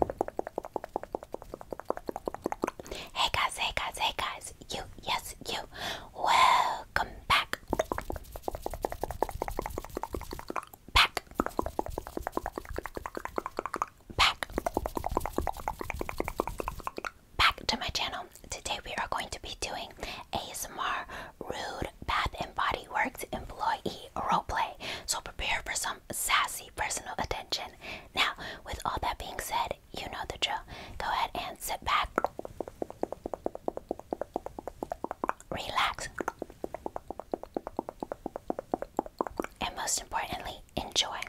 Hey guys, hey guys, hey guys, you, yes, you, welcome back. Back. Back. Back to my channel. Today we are going to be doing ASMR Rude Bath and Body Works employee roleplay. So prepare for some sassy personal attention now, with all that being said, you know the drill. Go ahead and sit back, relax, and most importantly, enjoy.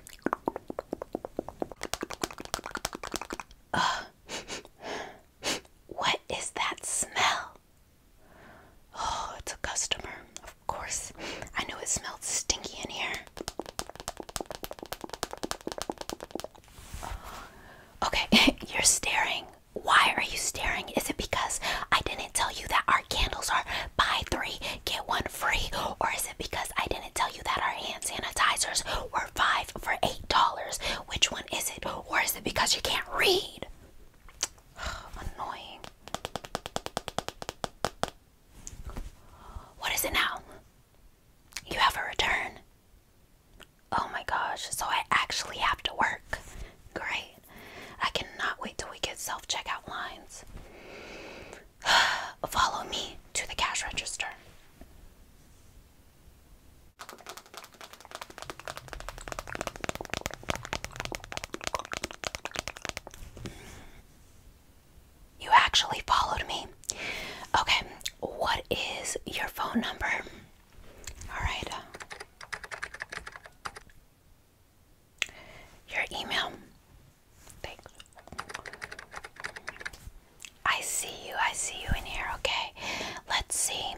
Oh. what is that smell? Oh, it's a customer, of course. I knew it smelled stinky in here. Okay, you're staring. Why are you staring? Is it because I didn't tell you that our candles are buy three, get one free? Or is it because I didn't tell you that our hand sanitizers were five for eight dollars? Which one is it? Or is it because you can't read? Annoying. What is it now? You have a return. Oh my gosh, so I actually have to work. Great. I cannot wait till we get self checkout lines. Follow me to the cash register. You actually followed me. Okay, what is your phone number? Alright. Uh, your email. Thanks. I see you, I see you in here. Okay, let's see.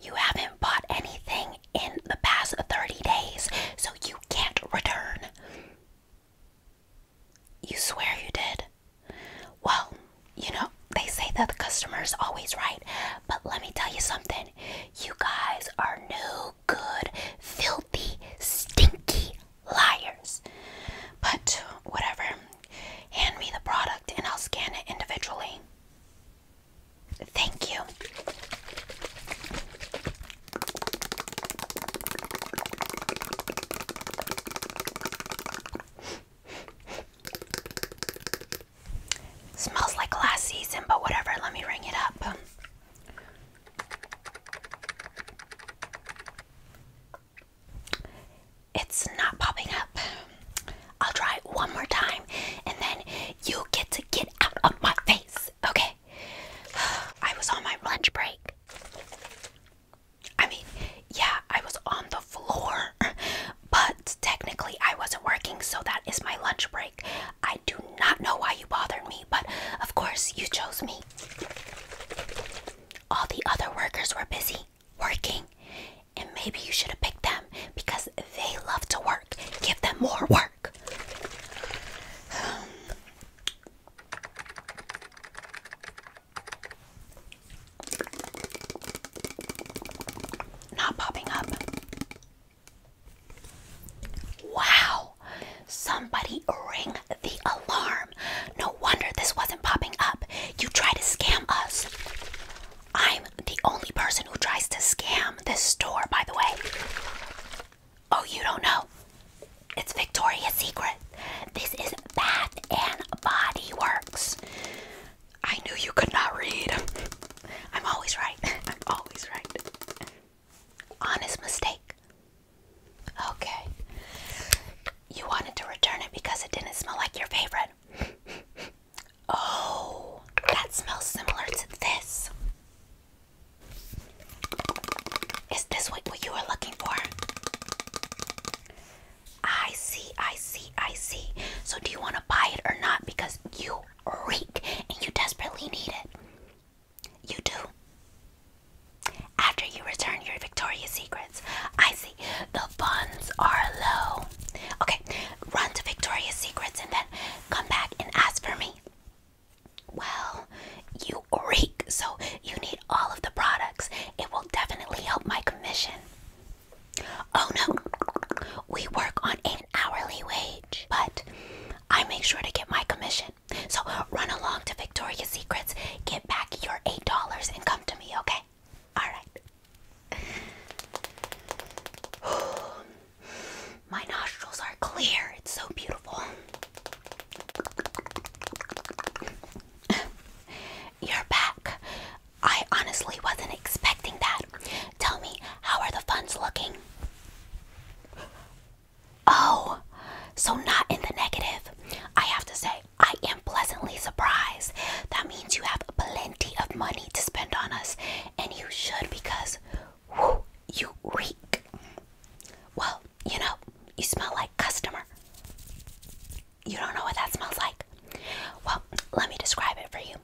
You haven't bought anything in the past 30 days, so you can't return. You swear you did. Well, you know, they say that the customer is always right, but let me tell you something. You guys are no good, filthy, stinky liars. But whatever. Hand me the product and I'll scan it individually. Thank you. Smells like last season, but whatever, let me ring it up. It's not popping up. I'll try it one more time and then you get to get out of my face. Okay. I was on my lunch break. I mean, yeah, I was on the floor, but technically I wasn't working, so that is my lunch break. I do not know why you bothered me, but of course you chose me. All the other workers were busy working, and maybe you should have picked them because they love to work. Give them more work. Not popping up. Wow! Somebody ring the alarm. No wonder this wasn't popping up. You try to scam us. I'm the only person who tries to scam this store, by the way. Oh, you don't know. It's Victoria's Secret. This is Bath and Body Works. I knew you could not read. I'm always right. I'm always right. Honest mistake. Okay. You wanted to return it because it didn't smell like your favorite. Oh, that smells similar to this. Is this what you were looking for? I see, I see, I see. So, do you want to buy it or not? Because you reek and you desperately need it. You do. After you return your Victoria's Secrets. I see. The funds are low. Okay, run to Victoria's Secrets and then come back and ask for me. Well, you reek, so you need all of the products. It will definitely help my commission. Oh no, we work on an hourly wage, but I make sure to get my commission. So run along to Victoria's Secrets, get back your $8, and come to me, okay? Alright. Oh, my nostrils are clear. It's so beautiful. You're back. I honestly wasn't expecting that. Tell me, how are the funds looking? Oh, so not in the negative. I have to say, I am pleasantly surprised. That means you have plenty of money to spend on us, and you should because Whew, you reek. Well, you know, you smell like customer. You don't know what that smells like? Well, let me describe it for you.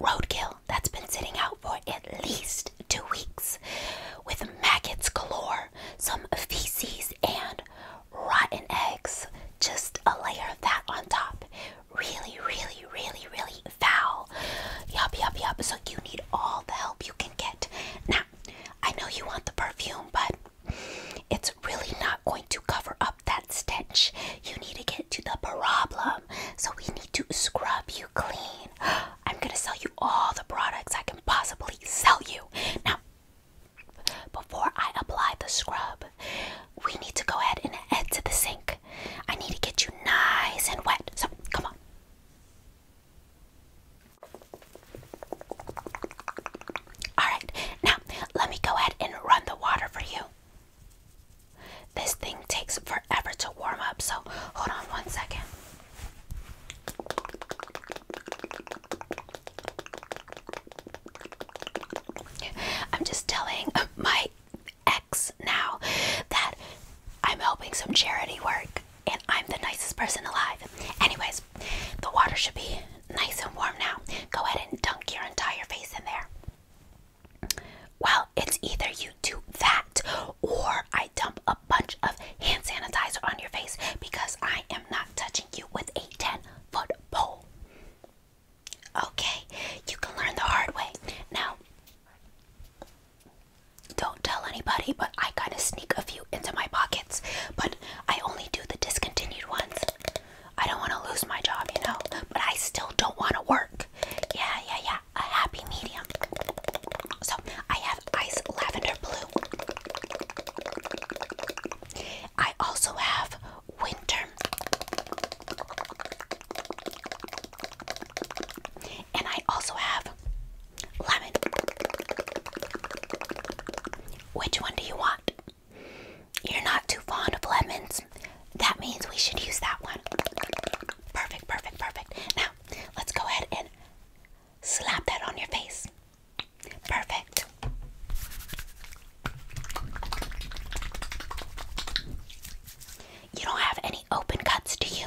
Roadkill that's been sitting out for at least two weeks with maggots galore, some feces, and rotten eggs. Just a layer of that on top. Really, really, really, really foul. Yup, yup, yup. So you need all the help you can get. Now, I know you want the perfume, but it's really not going to cover up that stench. You need to get to the problem. So we need to scrub you clean. I'm going to sell you all the products I can possibly sell you. Now, before I apply the scrub, we need to go ahead and head to the sink. I need to get you nice and wet. So, come on. Alright, now let me go ahead and run the water for you. This thing takes forever to warm up, so hold on one second. I'm just telling my ex now that I'm helping some charity work and I'm the nicest person alive. Anyways, the water should be nice and warm now. Go ahead and dunk your entire face in there. Well, it's either you do that or I dump a bunch of hand sanitizer on your face because I am not touching you with a 10 foot pole. Okay, you can learn the hard way. Now, don't tell anybody, but I kind of sneak a few into my pockets. But I only do the discontinued ones. I don't want to lose my job, you know. But I still don't want to work. Yeah, yeah, yeah. A happy medium. So I have ice lavender blue. I also have winter. And I also have lemon. Which one do you want? You're not too fond of lemons. That means we should use that one. Perfect, perfect, perfect. Now, let's go ahead and slap that on your face. Perfect. You don't have any open cuts, do you?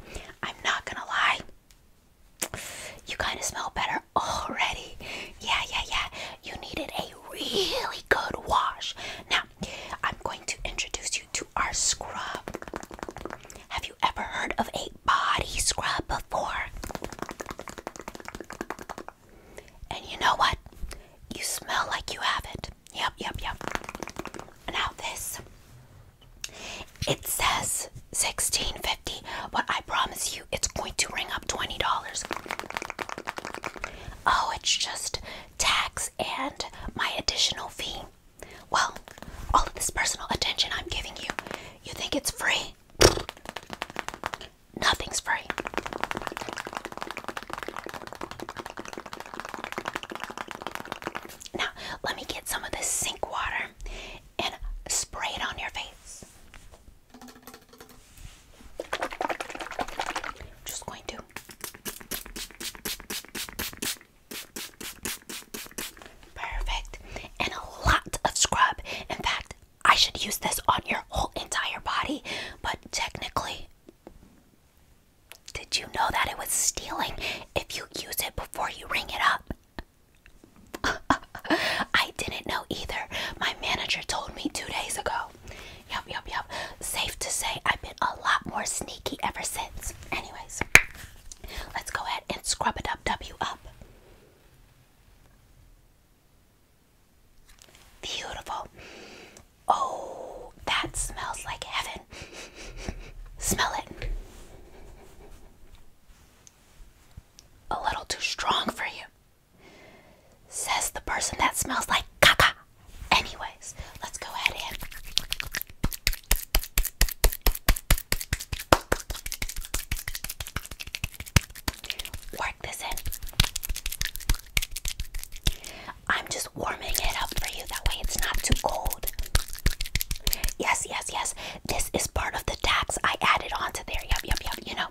I'm not gonna lie. You kind of smell better already. Yeah, yeah, yeah. You needed a really good wash. Now, I'm going to introduce you to our scrub. Have you ever heard of a body scrub before? And you know what? You smell like you have it. Yep, yep, yep. Now, this it says sixteen fifty, but I promise you it's going to ring up twenty dollars. Oh, it's just tax and my additional fee. Well, all of this personal attention I'm giving you, you think it's free? Nothing's free. Now, let me get some of this sink water and spray it on your face. Just going to Perfect. And a lot of scrub. In fact, I should use this on your whole entire body, but technically did you know that it was stealing if you use it before you ring it up? I didn't know either. My manager told me two days ago. Yup, yup, yup. Safe to say, I've been a lot more sneaky ever since. Anyways, let's go ahead and scrub it up, W up. Beautiful. Oh, that smells like heaven. Smell it. A little too strong for you. Says the person that smells like caca. Anyways, let's go ahead and. Work this in. I'm just warming it up for you. That way it's not too cold. Yes, yes, yes. This is part of the tax I added onto there. Yup, yup, yup. You know,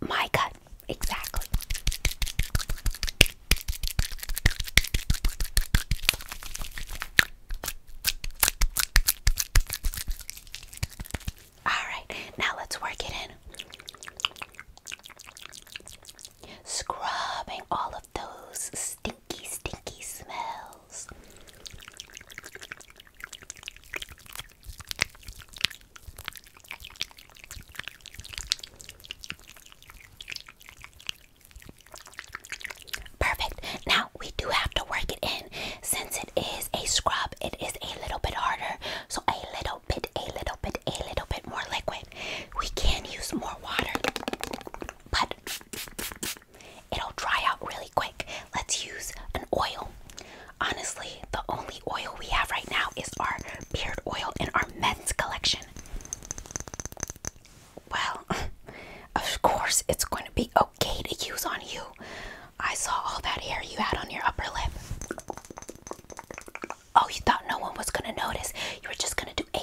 my gut. Exactly. Alright, now let's work it in. Scrubbing all of those stinky, stinky smells. Perfect. Now we do have to work it in. Since it is a scrub, it is a little bit harder. So a little bit, a little bit, a little bit more liquid. We can use more water, but It'll dry out really quick. Let's use an oil. Honestly, the only oil we have right now is our beard oil in our men's collection. Well, of course, it's going to be okay to use on you. I saw all that hair you had on your upper lip. Oh, you thought no one was going to notice. You were just going to do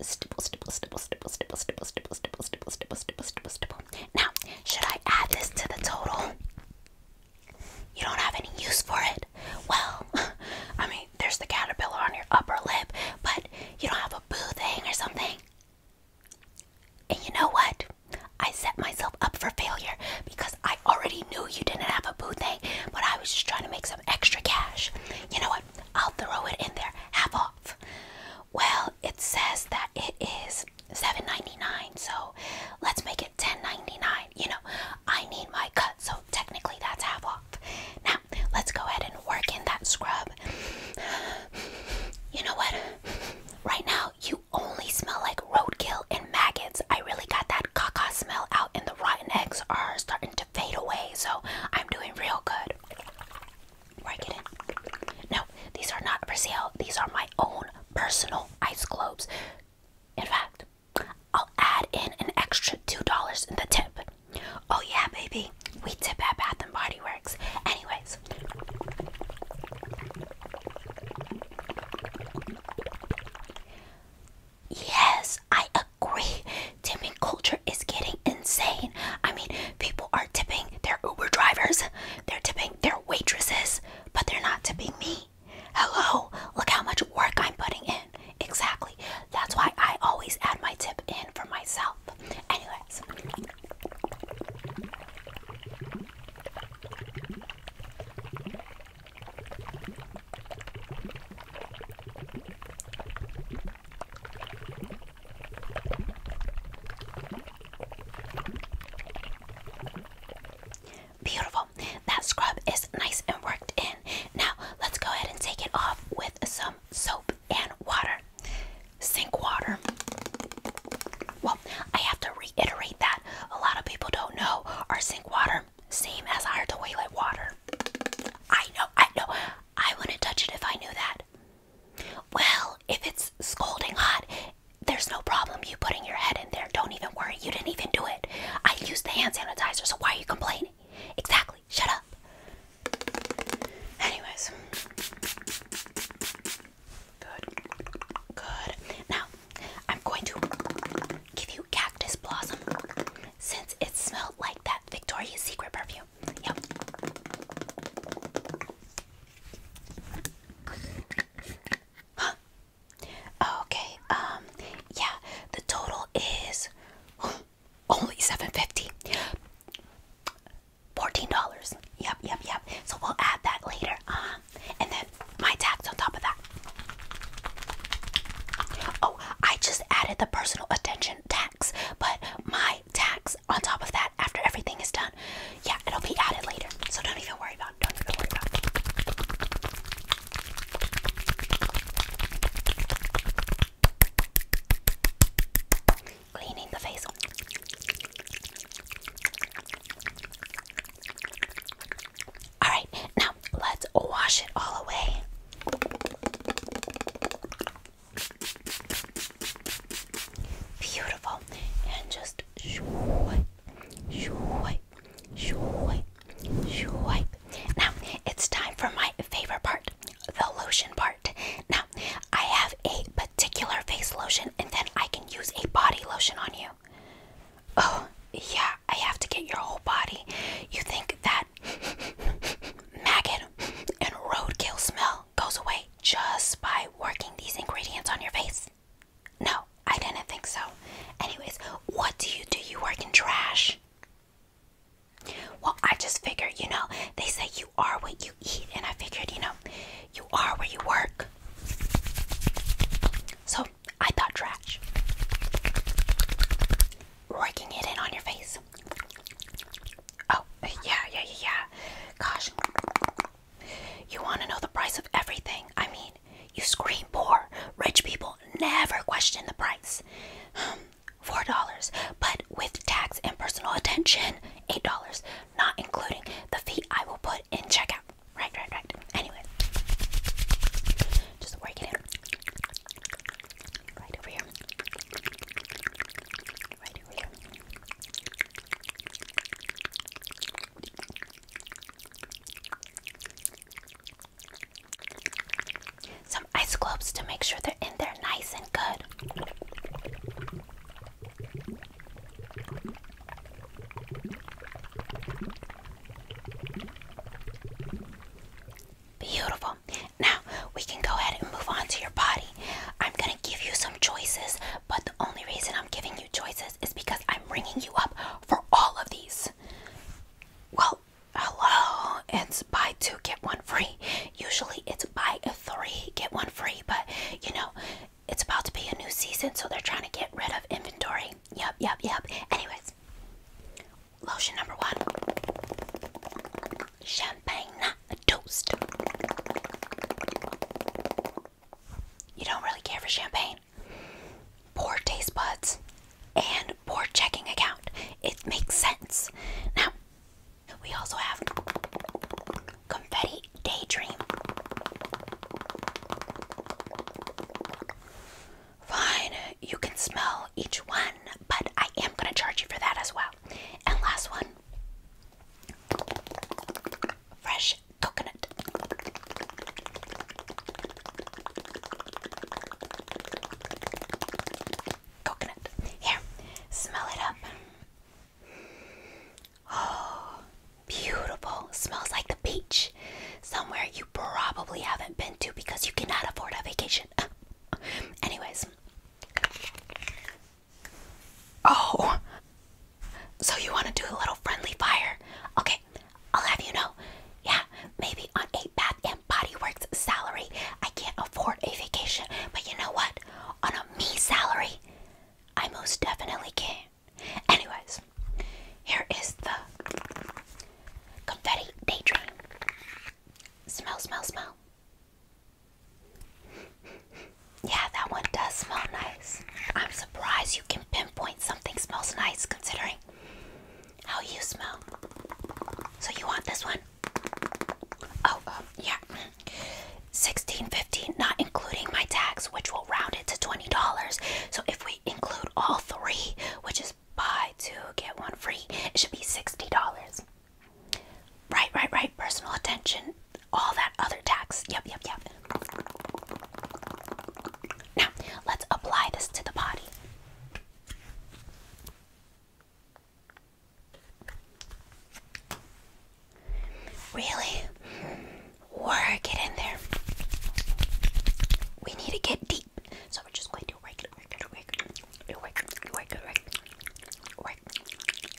stipple, stipple, stipple, stipple, stipple, stipple, stipple, stipple, stipple, stipple, stipple, stipple, Now, should I add this to the total? You don't have any use for it. Well, I mean, there's the caterpillar on your upper lip, but you don't have a boo thing or something. And you know what? I set myself up for failure because I already knew you didn't have a boo thing, but I was just trying to make some extra cash. You know what? I'll throw it in there half off. Well, it says that it is $7.99, so let's make it $10.99. You know, I need my cut, so technically that's half off. Now, let's go ahead and work in that scrub. You know what? Right now, you only smell like roadkill and maggots. I really got that caca smell out, and the rotten eggs are starting to fade away, so I'm doing real good. Work it in. No, these are not for sale. These are my own personal ice globes. In fact, I'll add in an extra $2 in the tip. Oh, yeah, baby. We tip at Bath and Body Works. Anyways. Yes, I agree. Dimming culture is getting insane. I mean, People are tipping their Uber drivers, they're tipping their waitresses, but they're not tipping me. Hello, look how much work I'm putting in. Exactly. That's why I always add my tip in for myself. Anyways. Beautiful. That scrub is nice and worked in. Now let's go ahead and take it off with some soap and water. Sink water. Well, I have to reiterate that. A lot of people don't know our sink water, same as our toilet water. I know, I know. I wouldn't touch it if I knew that. Well, if it's scalding hot, there's no problem you putting your head in there. Don't even worry. You didn't even do it. I used the hand sanitizer, so why are you complaining? Exactly. Shut up. Anyways. Good. Good. Now, I'm going to give you cactus blossom since it smelled like that Victoria's Secret perfume. Yum. Huh. Okay. Um. Yeah. The total is only seven fifty. Fourteen dollars. Yep. Yep. Yep. So we'll add that later. Um. And then my tax on top of that. Oh, I just added the personal attention tax, but my tax on top of that after everything is done. Yeah, it'll be added later. So don't even worry about it. Don't even worry about Cleaning the face. Alright, now let's wash it all away. Beautiful. And just swipe, swipe, swipe, swipe. Now it's time for my favorite part, the lotion part. Now I have a particular face lotion and then I can use a body lotion on you. Oh, yeah, I have to get your whole body. You think that maggot and roadkill smell goes away just by working these ingredients on your face? No, I didn't think so. Anyways, what do you do? You work in trash? Well, I just figured, you know, they say you are what you eat, and I figured, you know, you are where you work. So I thought trash. Working it in on your face. Oh, yeah, yeah, yeah, yeah. Gosh. You want to know the price of everything. I mean, you scream poor. Rich people never question the price. Um, four dollars, but with tax and personal attention, eight dollars, not including the fee I will put in checkout. Right, right, right. Anyway, just work it in. Right over here. Some ice cubes to make sure they're in there nice and good. Beautiful. Now we can go ahead and move on to your body. I'm gonna give you some choices, but the only reason I'm giving you choices is because I'm ringing you up for all of these. Well, hello, it's buy two, get one free. Usually it's buy a three, get one free, but you know, it's about to be a new season, so they're trying to get rid of inventory. Yep, yep, yep. Anyways, lotion number one, champagne a toast. You don't really care for champagne. Poor taste buds and poor checking account. It makes sense. Now, we also have confetti daydream. Fine, you can smell each one, but I am going to charge you for that as well. And last one Fresh coconut. Coconut. Here, smell it up. Oh, beautiful. Smells like the beach. Somewhere you probably haven't been to because you cannot afford a vacation. Anyways, Oh. So you want to do a little friendly fire? Okay, I'll have you know. Yeah, maybe on a Bath and Body Works salary, I can't afford a vacation. But you know what? On a me salary, I most definitely can. Anyways, here is the confetti daydream. Smell, smell, smell. Yeah, that one does smell nice. I'm surprised you can pinpoint something smells nice considering how you smell. So you want this one? Oh, um, yeah. 16.50 not including my tax which will round it to $20. So if we include all three, which is buy two get one free, it should be $60. Right, right, right. Personal attention all that other tax. Yep, yep, yep. Now, let's apply this to the body. Really? Work it in there. We need to get deep. So we're just going to work it, work it, work it, work it, work it,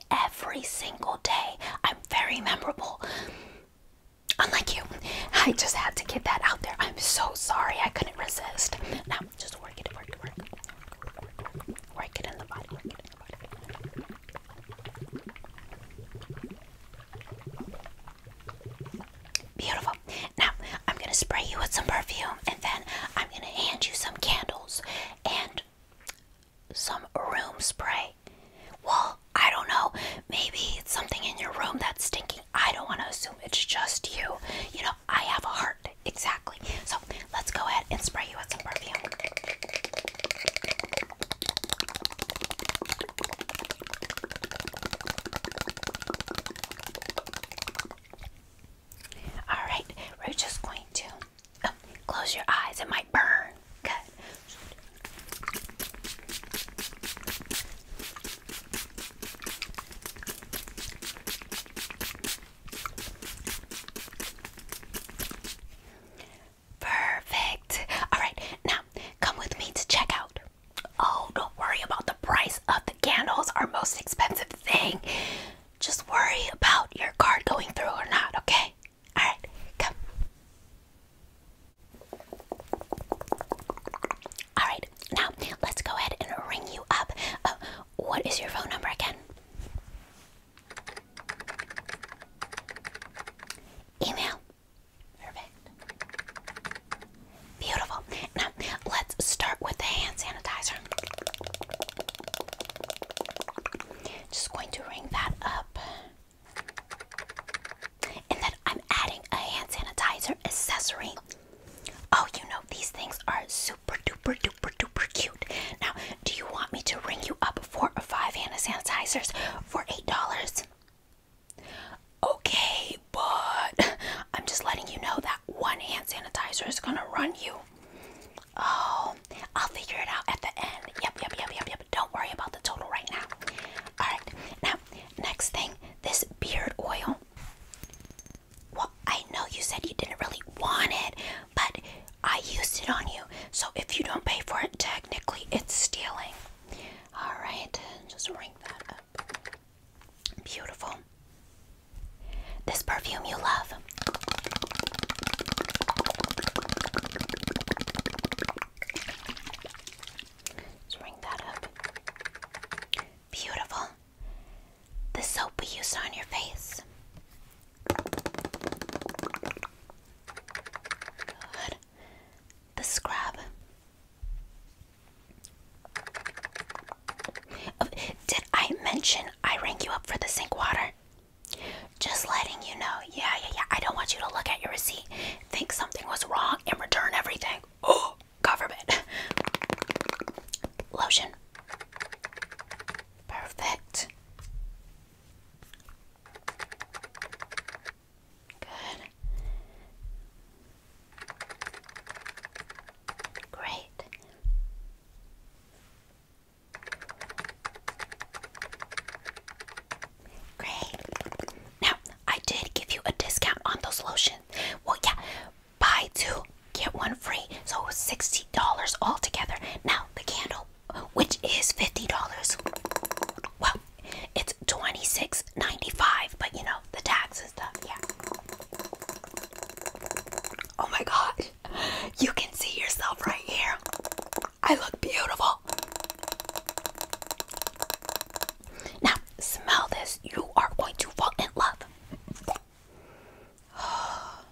me every single day. I'm very memorable. Unlike you, I just had to get that out there. I'm so sorry I couldn't resist. Now, just work it, work it, work it. Work it in the body, work it in the body. Beautiful. Now, I'm going to spray you with some perfume and then I'm going to hand you some candles and some room spray. Well, I don't know. Maybe it's something in your room that's stinking. I don't want to assume it's just you. You know, I have a heart. Exactly. So let's go ahead and spray you with some perfume. All right, we're just going to close your eyes, it might burn. Good. Perfect. All right, now come with me to check out. Oh, don't worry about the price of the candles, our most expensive thing. Just worry about your card going through or not, okay? Alright, come. Alright, now let's go ahead and ring you up. Uh, what is your phone number again? Email. Perfect. Beautiful. Now, let's start with the hand sanitizer. Just going to ring that up. And then I'm adding a hand sanitizer accessory. Oh, you know, these things are super duper duper duper cute. Now, do you want me to ring you up for or five hand sanitizers for $8? Okay, but I'm just letting you know that one hand sanitizer is gonna run you Oh, I'll figure it out at the end. Yep, yep, yep, yep, yep. Don't worry about the total right now. All right. Now, next thing, this beard oil. Well, I know you said you didn't really want it, but I used it on you. So if you don't pay for it, technically it's stealing. All right. Just ring that up. Beautiful. This perfume you love. Just bring that up. Beautiful. The soap we used on your face. Good. The scrub. Oh, did I mention I rank you up for the sink water? Just letting you know. Yeah, yeah, yeah. I don't want you to look at your receipt, think something was wrong, and return everything. Oh, government. Lotion. Perfect. Good. Great. Great. Now, I did give you a discount on those lotions. Well, yeah, buy two, get one free. So $60 altogether. Now, the candle, which is $50. Well, it's 26 but you know, the tax stuff, yeah. Oh my god. You can see yourself right here. I look beautiful. Now, smell this. You are going to fall in love.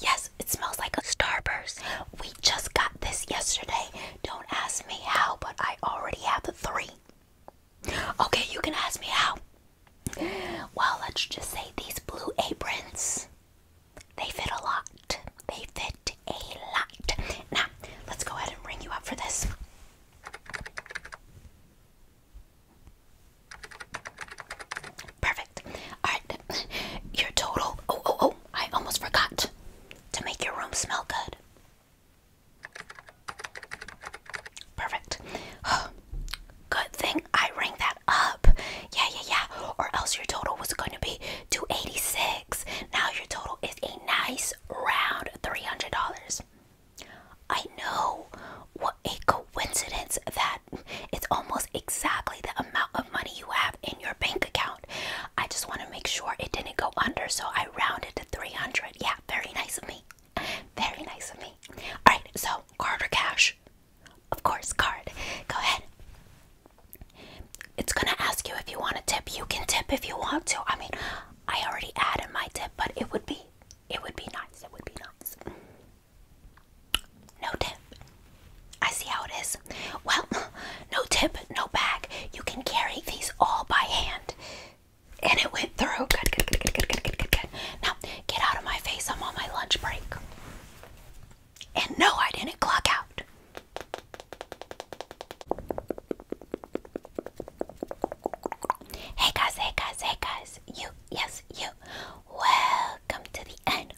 yes, it smells like a starburst. We just got this yesterday. Don't ask me how, but I already have the three. Okay, you can ask me how. Well, let's just say these blue aprons they fit a lot. They fit a lot. Now, let's go ahead and ring you up for this. Perfect. Alright, your total. Oh, oh, oh, I almost forgot to make your room smell good. Perfect. Good thing I rang that up. Yeah, yeah, yeah. Or else your total was going to be 286. Now your total is a nice round $300. I know what a coincidence that it's almost exactly the amount of money you have in your bank account. I just want to make sure it didn't go under, so I rounded to 300. Yeah, very nice of me. Very nice of me. All right, so card or cash? Of course, card. Go ahead. It's gonna ask you if you want a tip. You can tip if you want to. I mean, I already added my tip, but it would be, it would be nice. It would be nice. No tip. I see how it is. Well, no tip, no bag. You can carry these all by hand. And it went through. Good, good, good, good, good, good, good, good. Now, get out of my face. I'm on my lunch break. And no, I didn't clock out. Hey guys, hey guys, hey guys. You, yes, you. Welcome to the end.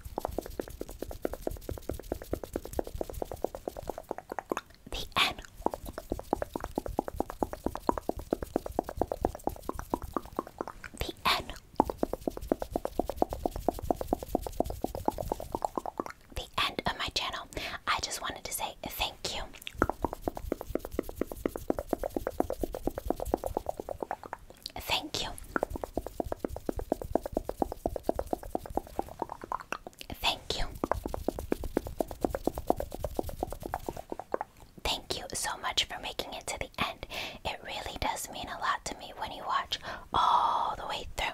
The end. The end the end of my channel. I just wanted to say thank you. Thank you. Thank you. Thank you so much for making it to the end. It really does mean a lot to me when you watch all the way through.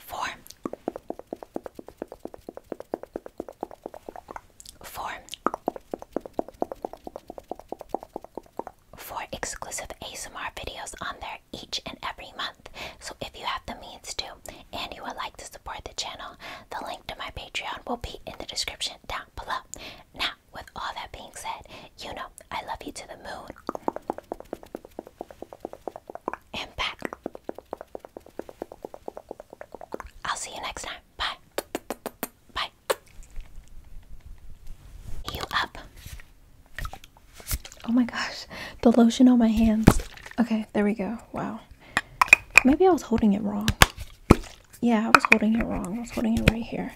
Four. exclusive ASMR videos on there each and every month. So if you have the means to and you would like to support the channel, the link to my Patreon will be in the description down below. Now, with all that being said, you know I love you to the moon and back. I'll see you next time. Bye. Bye. You up. Oh my gosh, the lotion on my hands. Okay, there we go. Wow. Maybe I was holding it wrong. Yeah, I was holding it wrong. I was holding it right here.